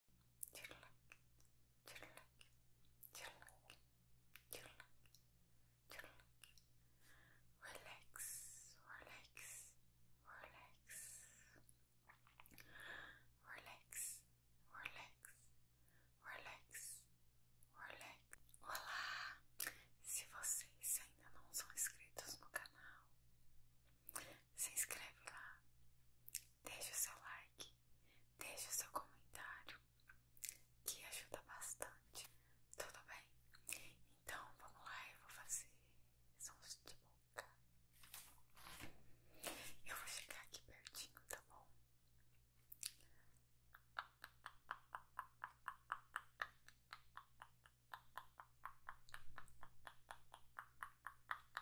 relax, relax. Olá! Se vocês ainda não são inscritos no canal, se inscreve lá, deixe o seu like, deixe o seu comentário, que ajuda bastante. Tudo bem? Então vamos lá, eu vou fazer sons de boca. Eu vou chegar aqui pertinho, tá bom?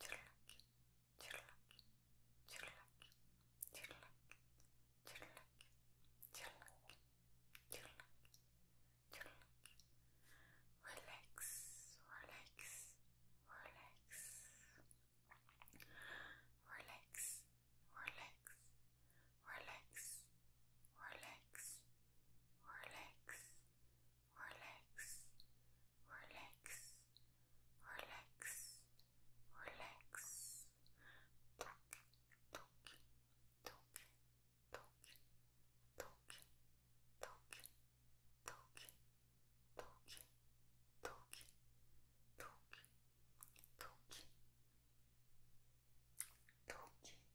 chirlak, chirlak, chirlak, chirlak, chirlak, chirlak, chirlak, chirlak. Relax, relax, relax, relax, relax, relax, relax, relax relax, relax, relax, relax. Tuk, tuk, tuk, tuk, tuk, tuk, tuk, tuk, tuk, tuk, tuk. Toki,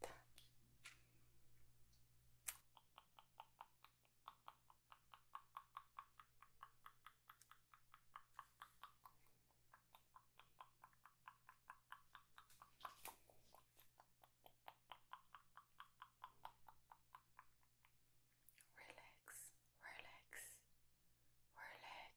Tak. Relax, relax, relax,